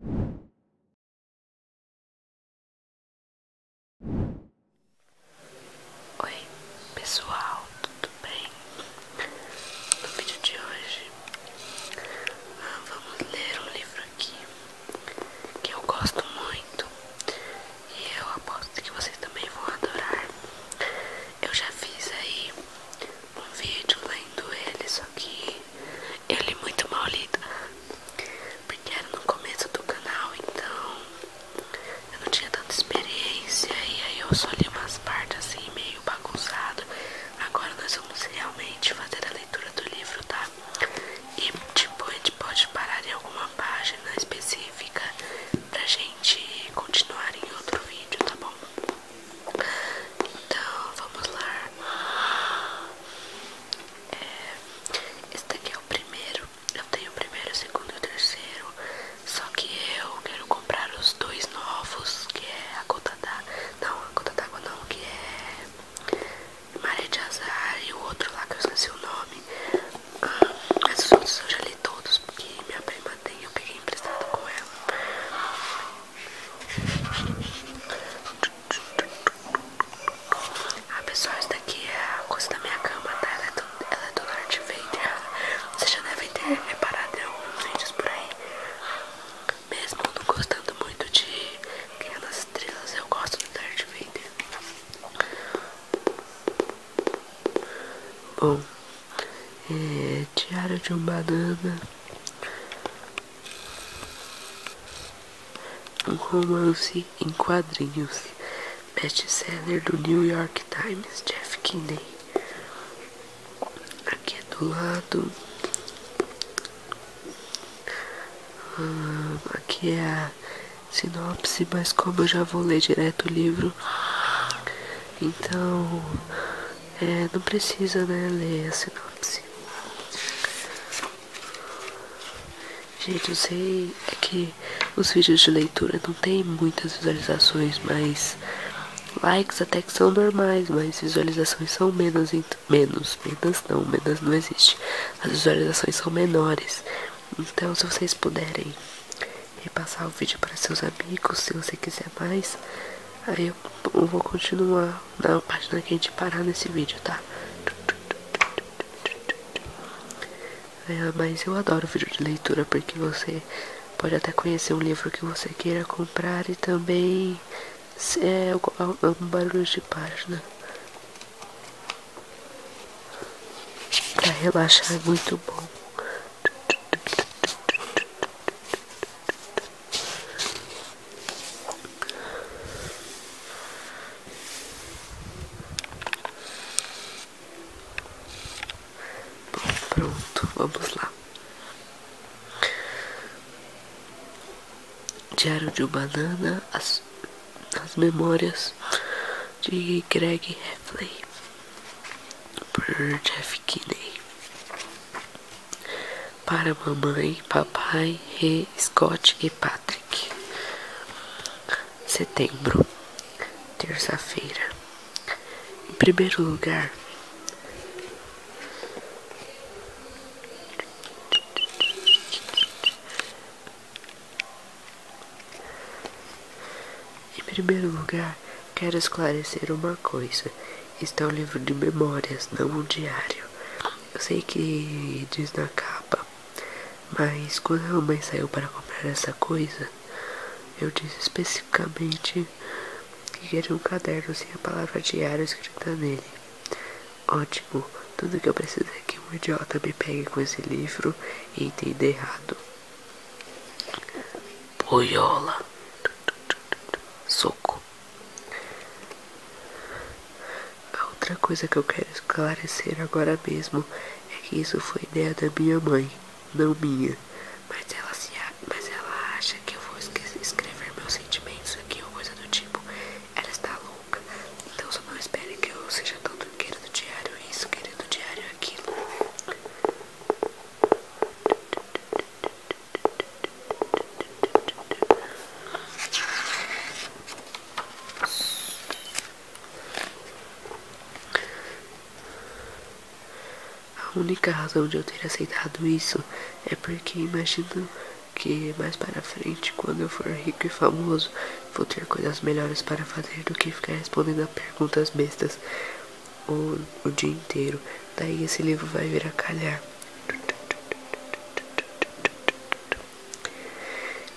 Oi pessoal, tudo bem? No vídeo de hoje ah, vamos ler um livro aqui que eu gosto muito e eu aposto que vocês também vão adorar. Eu já fiz aí um vídeo lendo ele, só que eu li é muito mal lido. Porque era no começo do canal, então eu não tinha tanta experiência. E aí eu só li umas partes assim, meio bagunçado. Agora nós vamos realmente fazer a leitura do livro, tá? E tipo, a gente pode parar em alguma página específica pra gente continuar em outro vídeo, tá bom? Então, vamos lá. É, esse daqui é o primeiro. Eu tenho o primeiro, o segundo e o terceiro. Só que eu quero comprar os dois novos, que é a Cota d'água. Não, a Cota d'água não, que é maré de azar e o outro lá que eu esqueci o nome. Ah, mas os outros eu já li todos, porque minha prima tem, eu peguei emprestado com ela. Ah, pessoal, isso daqui é a coisa da minha cama, tá? Ela é do, ela é do Darth Vader. Vocês já devem ter reparado em alguns vídeos por aí. Mesmo não gostando muito de Guerra Estrelas, eu gosto do Darth Vader. Bom, é, Diário de um Banana um romance em quadrinhos. Best-seller do New York Times, Jeff Kinney. Aqui do lado. Ah, aqui é a sinopse, mas como eu já vou ler direto o livro, então é, não precisa né, ler a sinopse. Gente, eu sei que os vídeos de leitura não tem muitas visualizações, mas likes até que são normais, mas visualizações são menos, menos, menos não, menos não existe. As visualizações são menores. Então, se vocês puderem repassar o vídeo para seus amigos, se você quiser mais, aí eu vou continuar na página que a gente parar nesse vídeo, tá? É, mas eu adoro vídeo de leitura porque você pode até conhecer um livro que você queira comprar e também é, é, é, um barulho de página. Pra relaxar é muito bom pronto, vamos lá. Diário de Banana, as, as memórias de Greg Heffley por Jeff Kinney para mamãe, papai, He, Scott e Patrick. Setembro, terça-feira. Em primeiro lugar, em primeiro lugar, quero esclarecer uma coisa. Está um livro de memórias, não um diário. Eu sei que diz na capa, mas quando a mamãe saiu para comprar essa coisa, eu disse especificamente que era um caderno sem a palavra diário escrita nele. Ótimo, tudo que eu preciso é que um idiota me pegue com esse livro e entenda errado. Poiola, Soco. A outra coisa que eu quero esclarecer agora mesmo é que isso foi ideia da minha mãe, não minha. Mas ela, acha que eu vou escrever meus sentimentos aqui ou coisa do tipo. Ela está louca. Então só não espere que eu seja tão todo querido diário isso, querido diário aquilo. A única razão de eu ter aceitado isso é porque imagino que mais para frente, quando eu for rico e famoso, vou ter coisas melhores para fazer do que ficar respondendo a perguntas bestas o, o dia inteiro. Daí esse livro vai vir a calhar.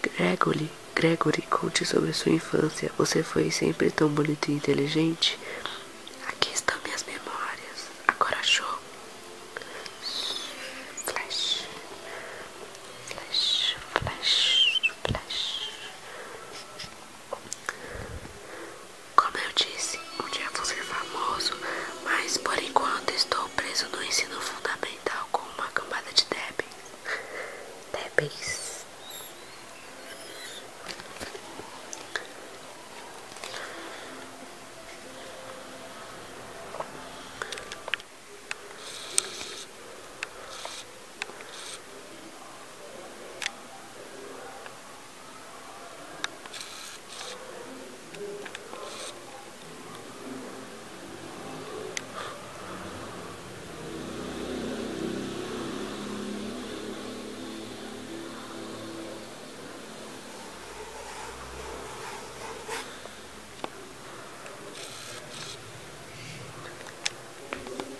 Gregory, Gregory, conte sobre sua infância. Você foi sempre tão bonito e inteligente? Aqui estão minhas memórias. Agora show. Flash. Flash, flash, flash. Como eu disse, um dia vou ser famoso, mas por enquanto estou preso no ensino fundamental tal com uma gambada de débeis. Débeis.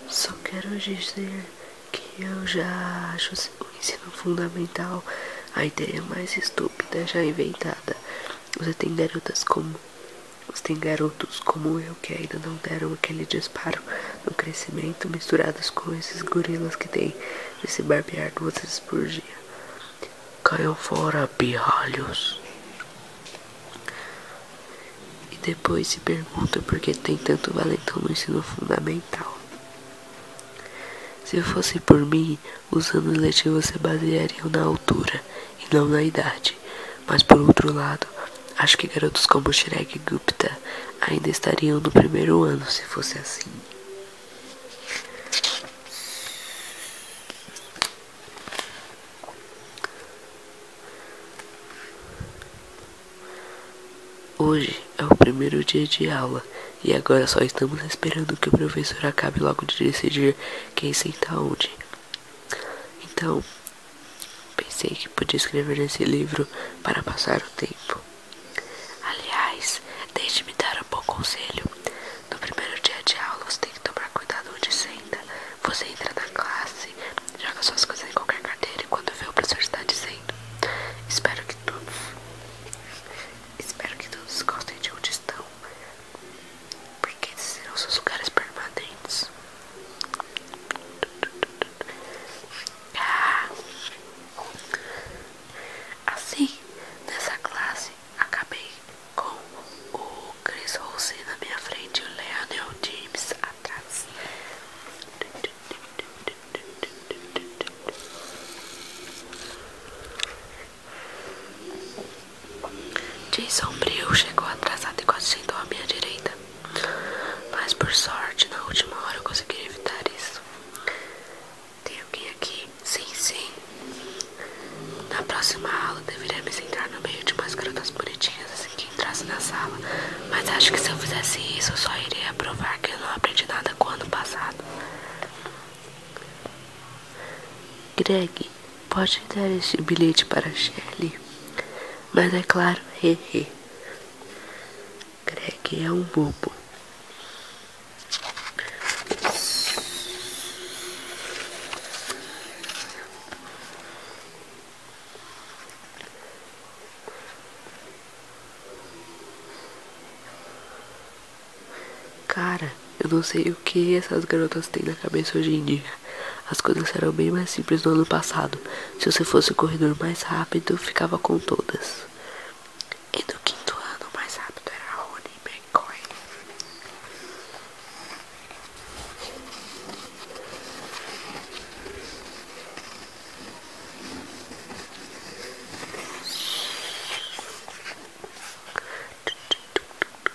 Só quero dizer que eu já acho o ensino fundamental a ideia mais estúpida já inventada. Você tem garotas como. Você tem garotos como eu que ainda não deram aquele disparo no crescimento, misturados com esses gorilas que têm esse barbear duas vezes por dia. Caiam fora, pirralhos. E depois se pergunta por que tem tanto valentão no ensino fundamental. Se fosse por mim, assim, os anos letivos se baseariam na altura e não na idade. Mas por outro lado, acho que garotos como Shrek e Gupta ainda estariam no primeiro ano se fosse assim. Hoje é o primeiro dia de aula e agora só estamos esperando que o professor acabe logo de decidir quem é senta onde. Então, pensei que podia escrever nesse livro para passar o tempo. Aliás, deixe-me dar um bom conselho. No primeiro dia de aula, você tem que tomar cuidado onde senta. Você entra na classe, joga suas coisas em qualquer carteira e quando vê o professor está dizendo. Espero que todos. Espero que todos gostem de onde estão porque esses serão seus lugares permanentes. Ah. Assim, nessa classe, acabei com o Chris Rossi na minha frente e o Leonel James atrás. Jay sombrio chegou atrasado e quase sentou à minha direita. Mas por sorte, na última hora eu consegui evitar isso. Tem alguém aqui? Sim, sim. Na próxima aula me sentar no meio de umas garotas bonitinhas assim que entrasse na sala. Mas acho que se eu fizesse isso, só iria provar que eu não aprendi nada com o ano passado. Greg, Pode dar este bilhete para Shelley. Mas é claro, hehe. Greg é um bobo. Cara, eu não sei o que essas garotas têm na cabeça hoje em dia. As coisas eram bem mais simples no ano passado. Se você fosse o corredor mais rápido, ficava com todas. E no quinto ano, o mais rápido era Rony McCoy.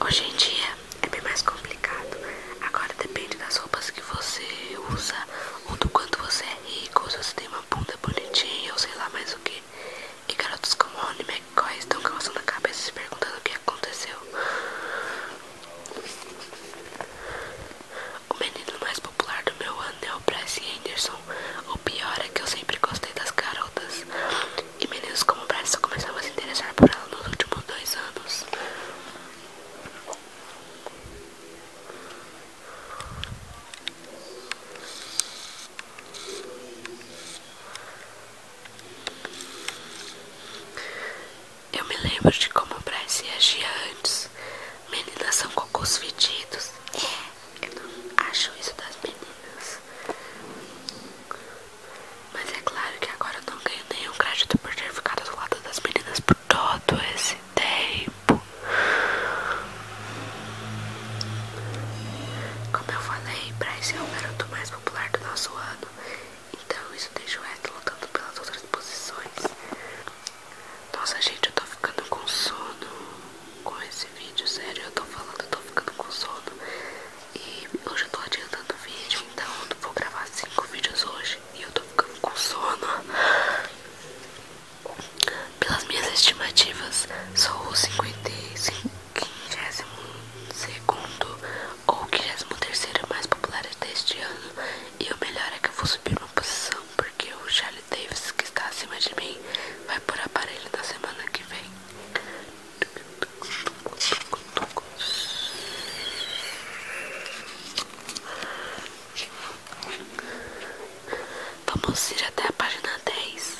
Hoje em dia é bem mais complicado. Agora depende das roupas que você usa, ou do quanto você é rico, ou se você tem uma bunda bonitinha, ou sei lá mais o que. E garotos como Ronnie McCoy estão calçando a cabeça se perguntando o que aconteceu. O menino mais popular do meu ano é o Bryce Anderson. O pior é que eu sempre gostei das garotas. E meninos como o Brasil começavam a se interessar por ela nos últimos dois anos. Eu me lembro de como o Bryce agia antes. Meninas são cocôs fedidos. É, eu não acho isso das meninas. Mas é claro que agora eu não ganho nenhum crédito por ter ficado do lado das meninas por todo esse tempo. Como eu falei, Bryce é o garoto mais popular do nosso ano, então isso deixa o resto lutando pelas outras posições. Nossa, gente, eu tô ficando com sono com esse vídeo, sério, eu tô falando, eu tô ficando com sono. E hoje eu tô adiantando o vídeo, então vou gravar cinco vídeos hoje e eu tô ficando com sono. Pelas minhas estimativas, sou o 55 segundo ou 53 terceiro mais popular deste ano e o melhor é que eu vou subir uma posição porque o Charlie Davis que está acima de mim vai por aparelho na semana que vem Vamos ir até a página dez.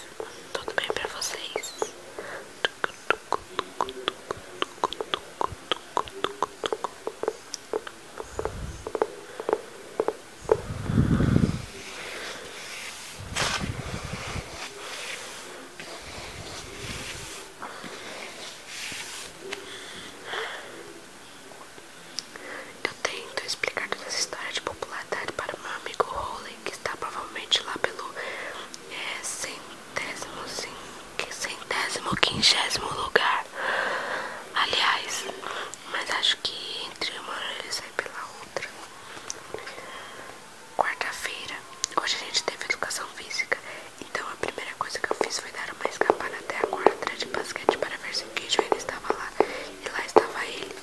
Tudo bem pra vocês? Eu tento explicar toda essa história de popularidade para o meu amigo Rowley, que está provavelmente lá pelo é, centésimo, sim, lugar. Aliás, mas acho que entre uma hora ele sai pela outra quarta-feira. Hoje a gente teve educação física, então a primeira coisa que eu fiz foi dar uma escapada até a quadra de basquete para ver se o queijo ainda estava lá. E lá estava ele.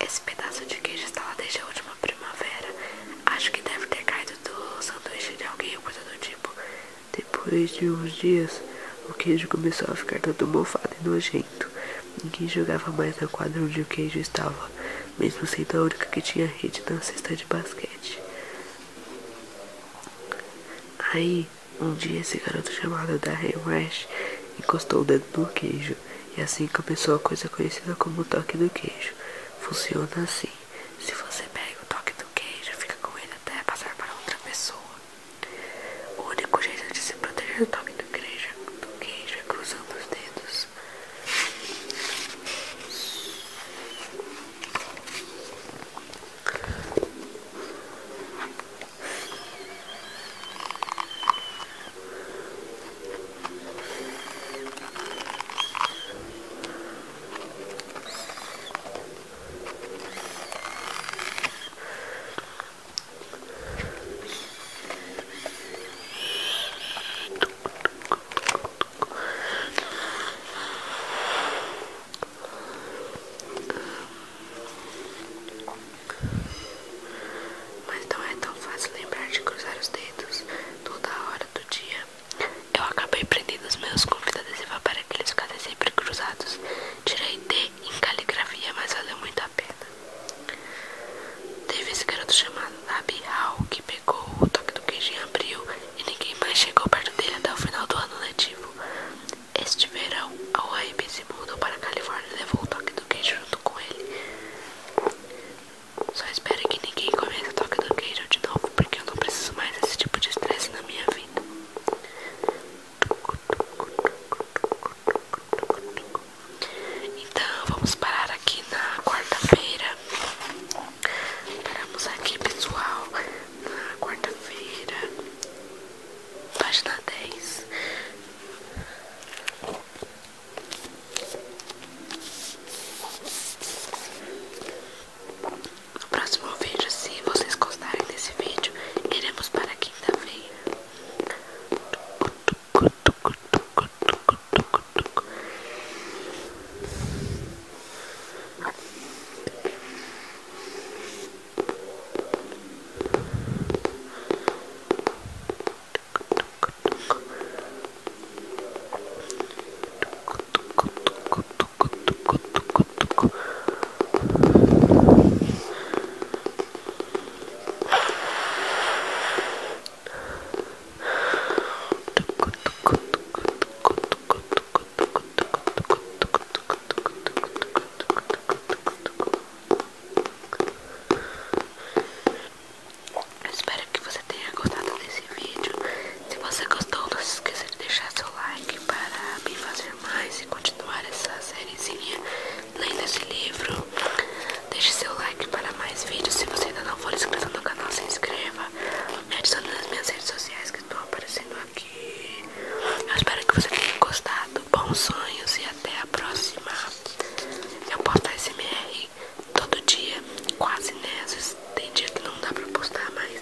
Esse pedaço de queijo está lá desde a última primavera. Acho que deve ter caído do sanduíche de alguém ou coisa do tipo. Depois de uns dias, o queijo começou a ficar todo mofado e nojento. Ninguém jogava mais na quadra onde o queijo estava, mesmo sendo a única que tinha rede na cesta de basquete. Aí, um dia, esse garoto chamado Darren Rash encostou o dedo no queijo, e assim começou a coisa conhecida como toque do queijo. Funciona assim. Se você pega o toque do queijo, fica com ele até passar para outra pessoa. O único jeito de se proteger do toque do queijo, do queijo é cruzando os dedos. Mas não é tão fácil lembrar de cruzar os dedos toda hora do dia. Eu acabei prendendo os meus convidados fita adesiva para que eles ficassem sempre cruzados. Tirei D em caligrafia, mas valeu muito a pena. Teve esse garoto chamado Nabi Hal que pegou o toque do queijo em abril e ninguém mais chegou perto dele até o final do ano letivo. Este verão, a UAB se mudou para a Califórnia e levou o toque do queijo junto com ele. Só espero que ninguém comece o toque do queijo de novo porque eu não preciso mais desse tipo de estresse na minha vida. Então, vamos parar aqui na quarta-feira. Paramos aqui, pessoal, na quarta-feira, página 10. No próximo vídeo, se vocês gostarem desse vídeo, iremos para a quinta-feira. Eu espero que você tenha gostado desse vídeo se você gostou, não se esqueça de deixar seu like para me fazer mais e continuar essa sériezinha lendo esse livro. Deixe seu like para mais vídeos. Se você ainda não for inscrito no canal, se inscreva. Me adiciona nas minhas redes sociais que estão aparecendo aqui. Eu espero que você tenha gostado. Bons sonhos e até a próxima. Eu posto SMR todo dia, quase nessas. Tem dia que não dá para postar mais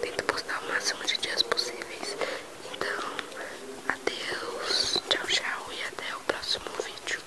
tento postar o máximo de dias possíveis. Então, adeus, tchau, tchau e até o próximo vídeo.